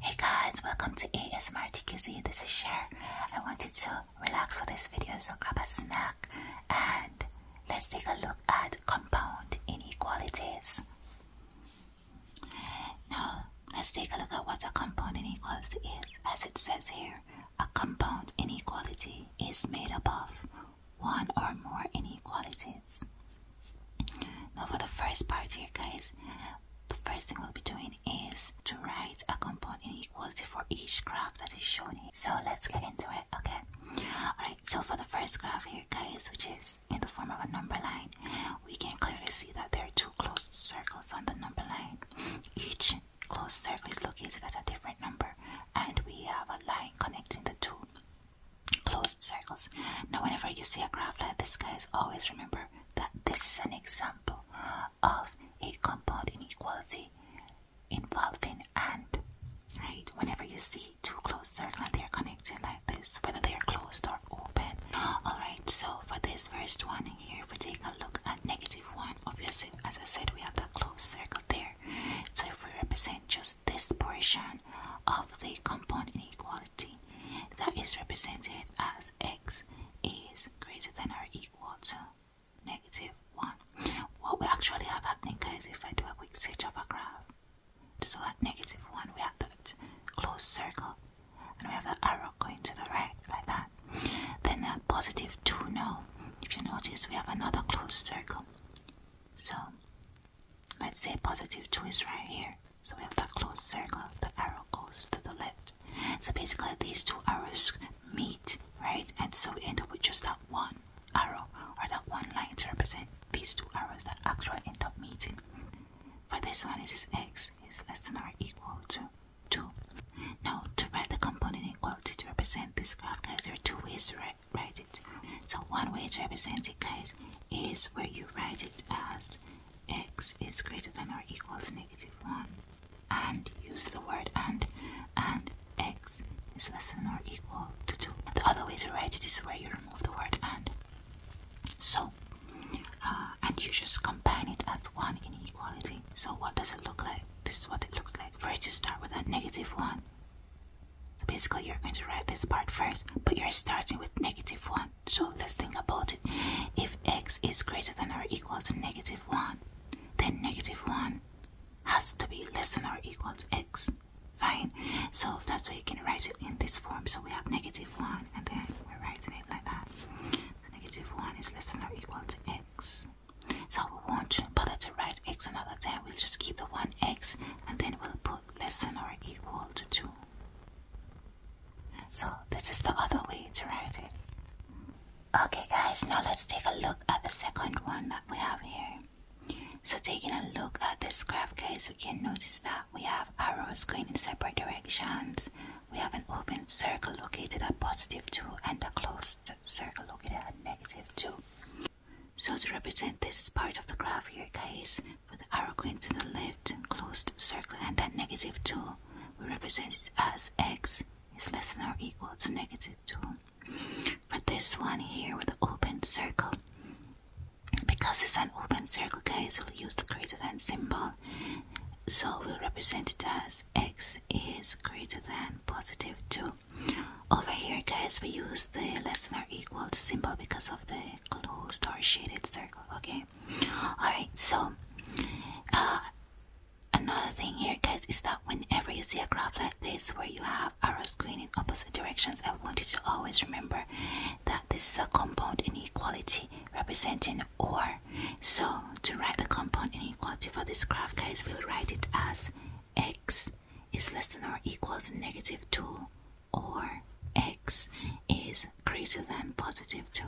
Hey guys, welcome to ASMR TKZ. This is Cher. I wanted to relax for this video, so grab a snack and let's take a look at compound inequalities. Now, let's take a look at what a compound inequality is. As it says here, a compound inequality is made up of one or more inequalities. Now, for the first part here, guys, the first thing we'll be doing is to write a compound inequality for each graph that is shown here. So let's get into it, okay? Alright, so for the first graph here, guys, which is in the form of a number line, we can clearly see that there are two closed circles on the number line. Each closed circle is located at a different number, and we have a line connecting the two closed circles. Now, whenever you see a graph like this, guys, always remember that this is an example of a compound inequality involving and. Right? Whenever you see two closed circles they are connected like this, whether they are closed or open. Alright, so for this first one here, we take a look at negative 1. Obviously, as I said, we have the closed circle there. So if we represent just this portion of the compound inequality, that is represented as x is greater than or equal to negative 1. What we actually have happening guys, if I do a quick search of a graph, to select negative negative 1, we have that closed circle and we have that arrow going to the right like that. Then that positive 2 now, if you notice, we have another closed circle. So let's say positive 2 is right here. So we have that closed circle, the arrow goes to the left. So basically these two arrows meet, right? And so we end up with just that one arrow or that one line to represent these two arrows that actually end up meeting. For this one, it is x is less than or equal to 2. Now, to write the component inequality to represent this graph, guys, there are two ways to write, write it. So one way to represent it, guys, is where you write it as x is greater than or equal to negative 1 and use the word and and x is less than or equal to 2 the other way to write it is where you remove the word and so uh, and you just combine it as one inequality so what does it look like this is what it looks like first you start with that negative 1 so basically you're going to write this part first but you're starting with negative 1 so let's think about it. If x is greater than or equal to negative 1, then negative 1 has to be less than or equal to x. Fine. So that's how you can write it in this form. So we have negative 1 and then we're writing it like that. negative 1 is less than or equal to x. So we won't bother to write x another time. We'll just keep the 1x and then we'll put less than or equal to 2. So this is the other way to write it. Okay guys, now let's take a look at the second one that we have here. So taking a look at this graph guys, we can notice that we have arrows going in separate directions. We have an open circle located at positive 2 and a closed circle located at negative 2. So to represent this part of the graph here guys, with the arrow going to the left and closed circle and that negative 2 we represent it as x is less than or equal to negative 2 for this one here with the open circle because it's an open circle guys we use the greater than symbol so we'll represent it as x is greater than positive 2 over here guys we use the less than or equal to symbol because of the closed or shaded circle okay all right so uh, another thing here guys is that whenever you see a graph like this where you have arrows going in opposite directions i want you to always remember that this is a compound inequality representing or so to write the compound inequality for this graph guys we'll write it as x is less than or equal to negative 2 or x is greater than positive 2.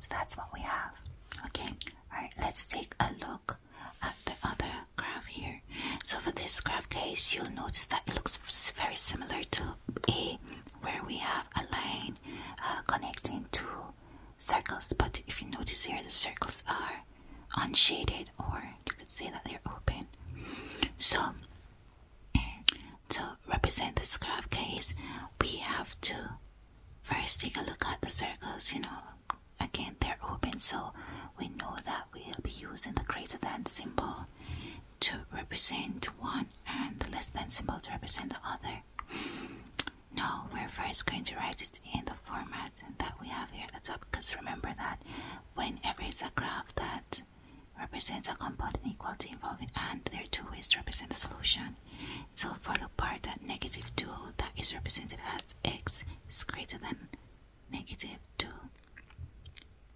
So that's what we have. Okay, alright, let's take a look at the other graph here. So for this graph, case, you'll notice that it looks very similar to A, where we have a line uh, connecting two circles. But if you notice here, the circles are unshaded, or you could say that they're open. So to represent this graph case, we have to first take a look at the circles, you know, again they're open, so we know that we'll be using the greater than symbol to represent one and the less than symbol to represent the other. Now we're first going to write it in the format that we have here at the top because remember that whenever it's a graph that represents a compound inequality involving and there are two ways to represent the solution. So for the part that negative 2 that is represented as x is greater than negative 2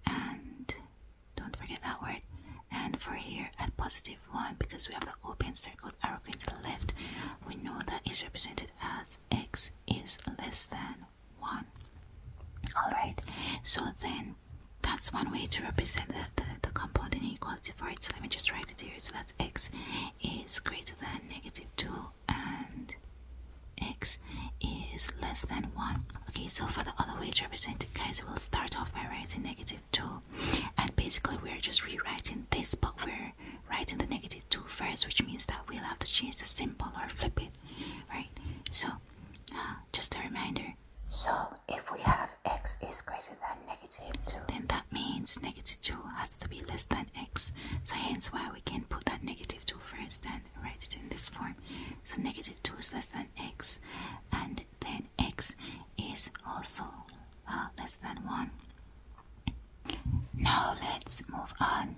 and don't forget that word and for here at positive 1 because we have the open circle arrow going to the left we know that is represented as x is less than one. Alright, so then that's one way to represent the, the, compound inequality for it. So let me just write it here. So that x is greater than negative 2 and x is less than 1. Okay, so for the other way to represent it, guys, we'll start off by writing negative 2. And basically, we're just rewriting this, but we're writing the negative 2 first, which means that we'll have to change the symbol or flip it, right? So just a reminder. So, if we have x is greater than negative 2, then that means negative 2 has to be less than x. So, hence why we can put that negative 2 first and write it in this form. So, negative 2 is less than x, and then x is also uh, less than 1. Now, let's move on.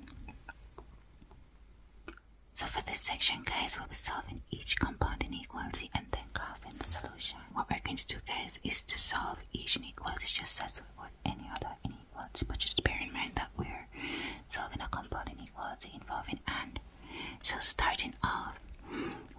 So for this section guys, we'll be solving each compound inequality and then graphing the solution. What we're going to do guys is to solve each inequality just as we would any other inequality, but just bear in mind that we're solving a compound inequality involving and. So starting off,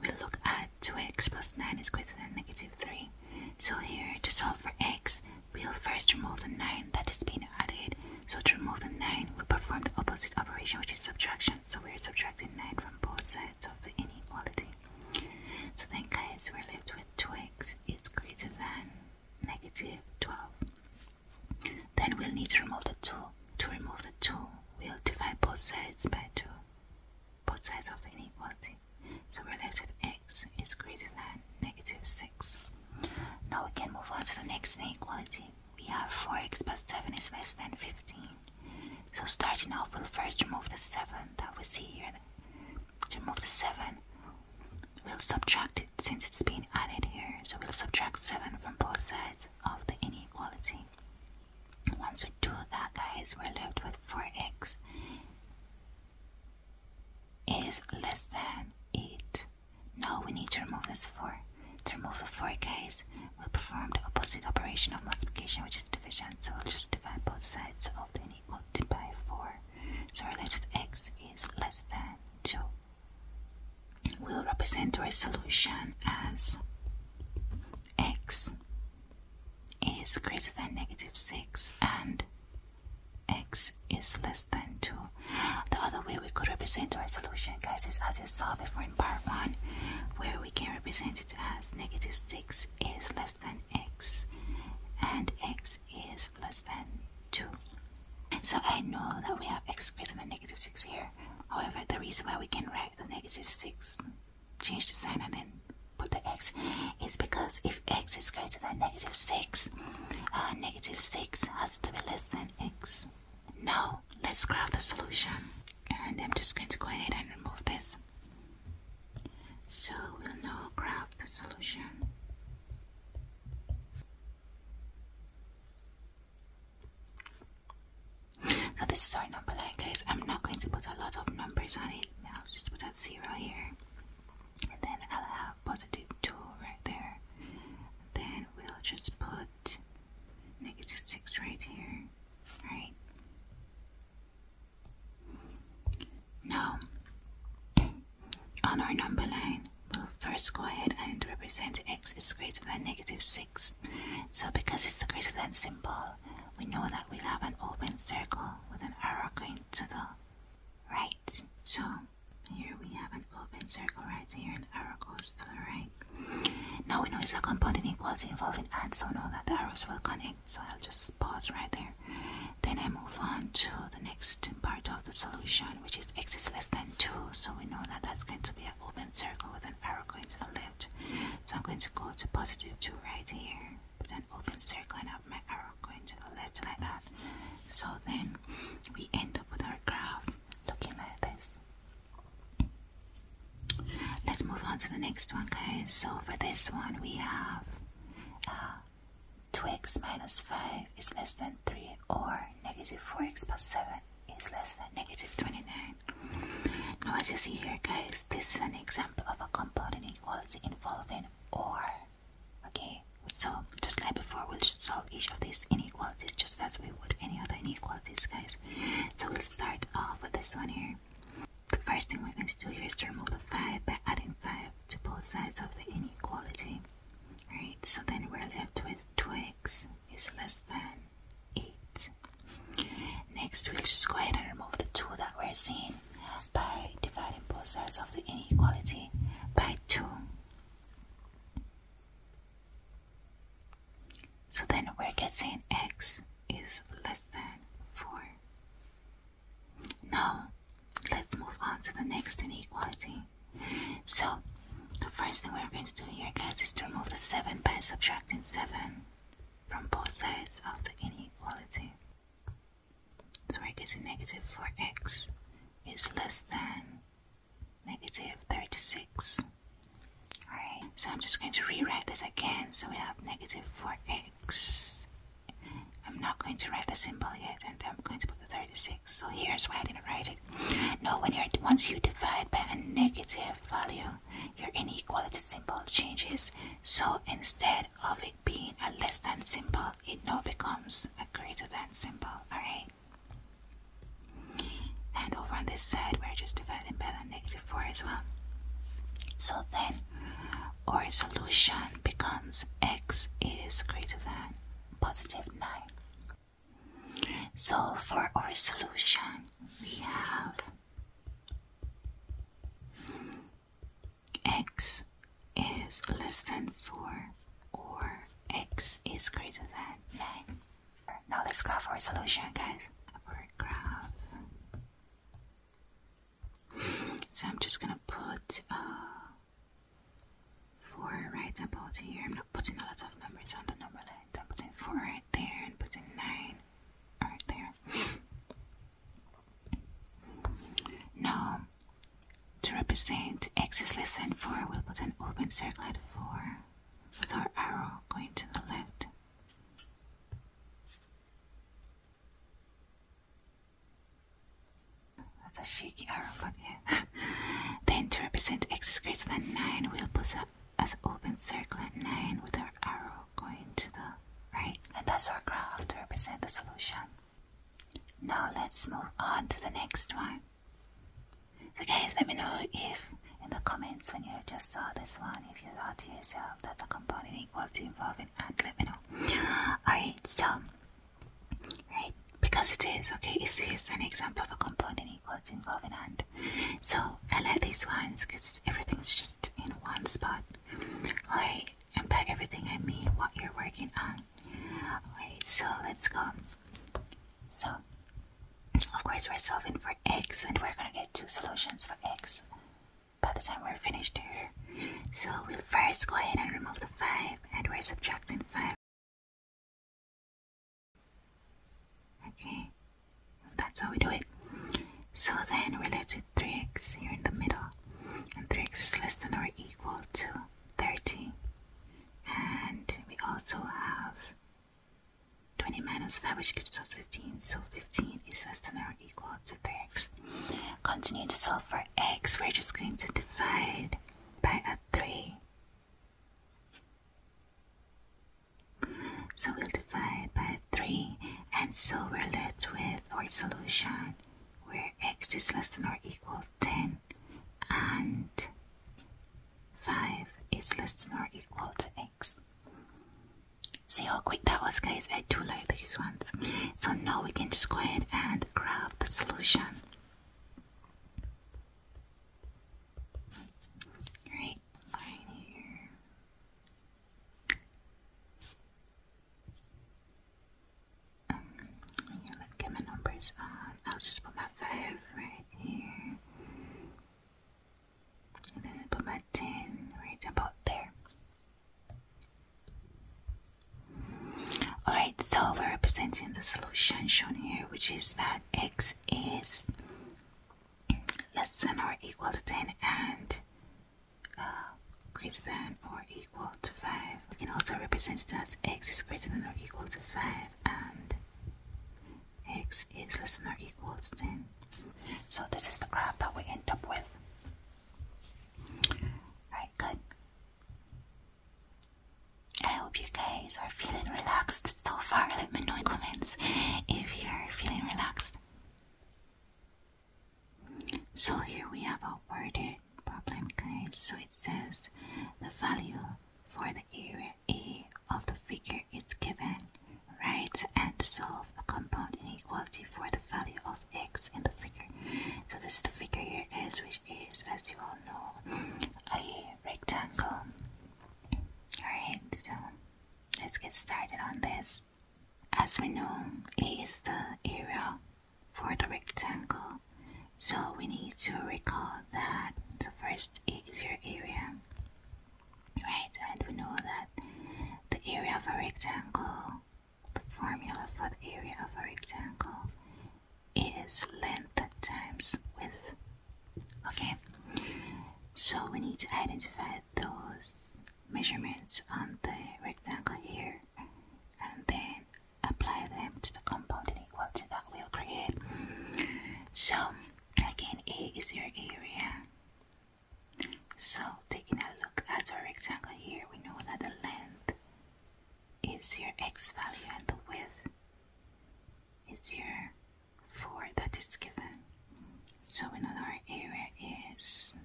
we look at 2x plus 9 is greater than negative 3. So here, to solve for x, we'll first remove the 9 that is being added so to remove the 9, we perform the opposite operation, which is subtraction. So we are subtracting 9 from both sides of the inequality. So then, guys, we're left with 2x is greater than negative 12. Then we'll need to remove the 2. To remove the 2, we'll divide both sides by 2, both sides of the inequality. So we're left with x is greater than negative 6. Now we can move on to the next inequality we have 4x plus 7 is less than 15. So starting off, we'll first remove the 7 that we see here. Remove the 7. We'll subtract it since it's being added here. So we'll subtract 7 from both sides of the inequality. Once we do that, guys, we're left with 4x is less than 8. Now we need to remove this 4. To remove the 4 guys, we'll perform the opposite operation of multiplication, which is division. So we'll just divide both sides of the unequal by 4. So related x is less than 2. We'll represent our solution as x is greater than negative 6 and x is less than 2. The other way we could represent our solution, guys, is as I saw before in part 1, where we can represent it as negative 6 is less than x and x is less than 2. So I know that we have x greater than negative 6 here. However, the reason why we can write the negative 6, change the sign and then put the x, is because if x is greater than negative 6, uh, 6 has to be less than x this. No, let's graph the solution. And I'm just going to go ahead and remove this. So we'll now graph the solution. So this is our number line guys. I'm not going to put a lot of numbers on it. I'll just put a zero here. And then I'll have 2 right there. Then we'll just put negative 6 right here, right? Now, on our number line, we'll first go ahead and represent x is greater than negative 6. So because it's the greater than symbol, we know that we'll have an open circle with an arrow going to the right. So here we have an open circle right here and arrow goes to the right. Now we know it's a compound inequality involving and so know that the arrows will connect. So I'll just pause right there. Then I move on to the next part of the solution, which is x is less than 2. So we know that that's going to be an open circle with an arrow going to the left. So I'm going to go to positive 2 right here. Put an open circle and have my arrow going to the left like that. So then we end up with our graph looking like this. Let's move on to the next one, guys. So for this one, we have 2x uh, minus 5 is less than 3 or negative 4x plus 7 is less than negative 29. Now as you see here guys, this is an example of a compound inequality involving or Okay, so just like before, we'll solve each of these inequalities just as we would any other inequalities, guys. So we'll start off with this one here. The first thing we're going to do here is to remove the 5 by adding 5 to both sides of the inequality. right? so then we're left with 2x is less than 8. Next, we'll just go ahead and remove the 2 that we're seeing by dividing both sides of the inequality by 2. So then we're getting x is less than 4. Now, let's move on to the next inequality. So, the first thing we're going to do here, guys, is to remove the 7 by subtracting 7 from both sides of the inequality. So we're getting negative 4x is less than negative 36. Alright, so I'm just going to rewrite this again. So we have negative 4x. I'm not going to write the symbol yet, and I'm going to put the 36. So here's why I didn't write it. No, when you're once you divide by a negative value, your inequality symbol changes. So instead of it being a less than symbol, it now becomes Greater than to symbol, alright? And over on this side, we're just dividing by the negative 4 as well. So then, our solution becomes x is greater than positive 9. So for our solution, we have x is less than 4 or x is greater than 9. Now let's graph our solution, guys. Our graph. So I'm just gonna put uh, 4 right about here. I'm not putting a lot of numbers on the number line. I'm putting 4 right there and putting 9 right there. Now to represent x is less than 4, we'll put an open circle at 4 with our arrow going to the left. That's a shaky arrow, but yeah. then to represent x is greater than 9, we'll put a, as open circle at 9 with our arrow going to the right. And that's our graph to represent the solution. Now let's move on to the next one. So guys, let me know if in the comments when you just saw this one, if you thought to yourself that's a component equal to involving and let me know. Alright, so right, because it is, okay, it's, it's an example of a component equal to involving and. So I like these ones because everything's just in one spot. Alright, and by everything I mean what you're working on. Wait, so let's go. So, of course, we're solving for x, and we're gonna get two solutions for x by the time we're finished here. So, we'll first go ahead and remove the 5, and we're subtracting 5. Okay, that's how we do it. So then we're left with 3x here in the middle, and 3x is less than or equal to 30 and we also have 20 minus 5 which gives us 15 so 15 is less than or equal to 3x continue to solve for x we're just going to divide by a 3 so we'll divide by 3 and so we're left with our solution where x is less than or equal ten and 5 is less than or equal to x. See how quick that was guys, I do like these ones. So now we can just go ahead and grab the solution. Right, line here let's get my numbers I'll just put my 5 right here. And then put my 10 right about there. Alright, so we're representing the solution shown here, which is that x is less than or equal to 10 and uh, greater than or equal to 5. We can also represent it as x is greater than or equal to 5 and x is less than or equal to 10. So this is the graph that we end up with. Alright, good. I hope you guys are feeling relaxed so far. Let me know in comments if you're feeling relaxed. So here we have a worded problem guys. So it says the value for the area A of the figure is given. right? and solve a compound inequality for the value of x in the figure. So this is the figure here guys which is as you all know a rectangle. Alright, so let's get started on this. As we know, A is the area for the rectangle. So we need to recall that the first is your area. Right, and we know that the area of a rectangle, the formula for the area of a rectangle is length times width. Okay, so we need to identify those measurements on the rectangle here and then apply them to the compound inequality that we'll create. So again, A is your area. So taking a look at our rectangle here, we know that the length is your x value and the width is your 4 that is given. So we know that our area is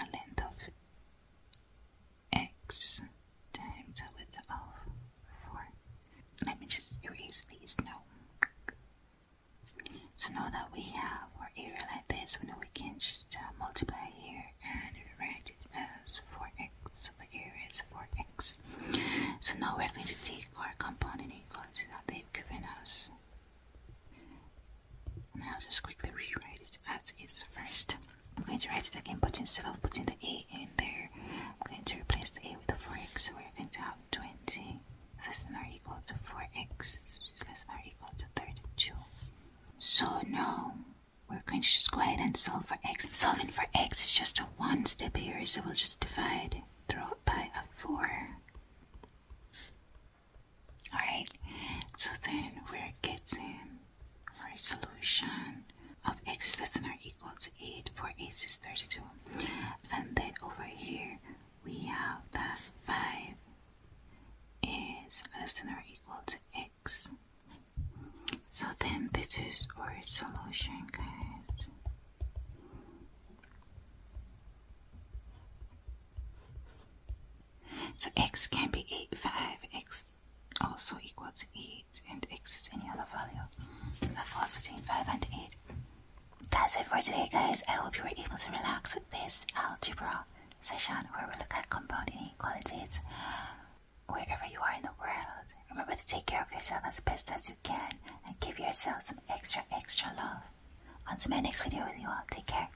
a length of x times the width of 4. Let me just erase these now. So now that we have our area like this, we know we can just uh, multiply here and write it as 4x. So the area is 4x. So now we're going to take our component equal to that they've given us. I'll just quickly rewrite it as is first. I'm going to write it again, but instead of putting the A in there, I'm going to replace the A with the 4x. So we're going to have 20 less than or equal to 4x less than or equal to 32. So now we're going to just go ahead and solve for x. Solving for x is just a one step here, so we'll just divide through by a 4. Alright, so then we're getting our solution of x is less than or equal to 8 for x is 32. And then over here we have that 5 is less than or equal to x. So then this is our solution, guys. So x can be eight, 5x also equal to 8 and x is any other value. That falls between 5 and 8. That's it for today guys. I hope you were able to relax with this algebra session where we look at compound inequalities wherever you are in the world. Remember to take care of yourself as best as you can and give yourself some extra extra love. On to my next video with you all. Take care.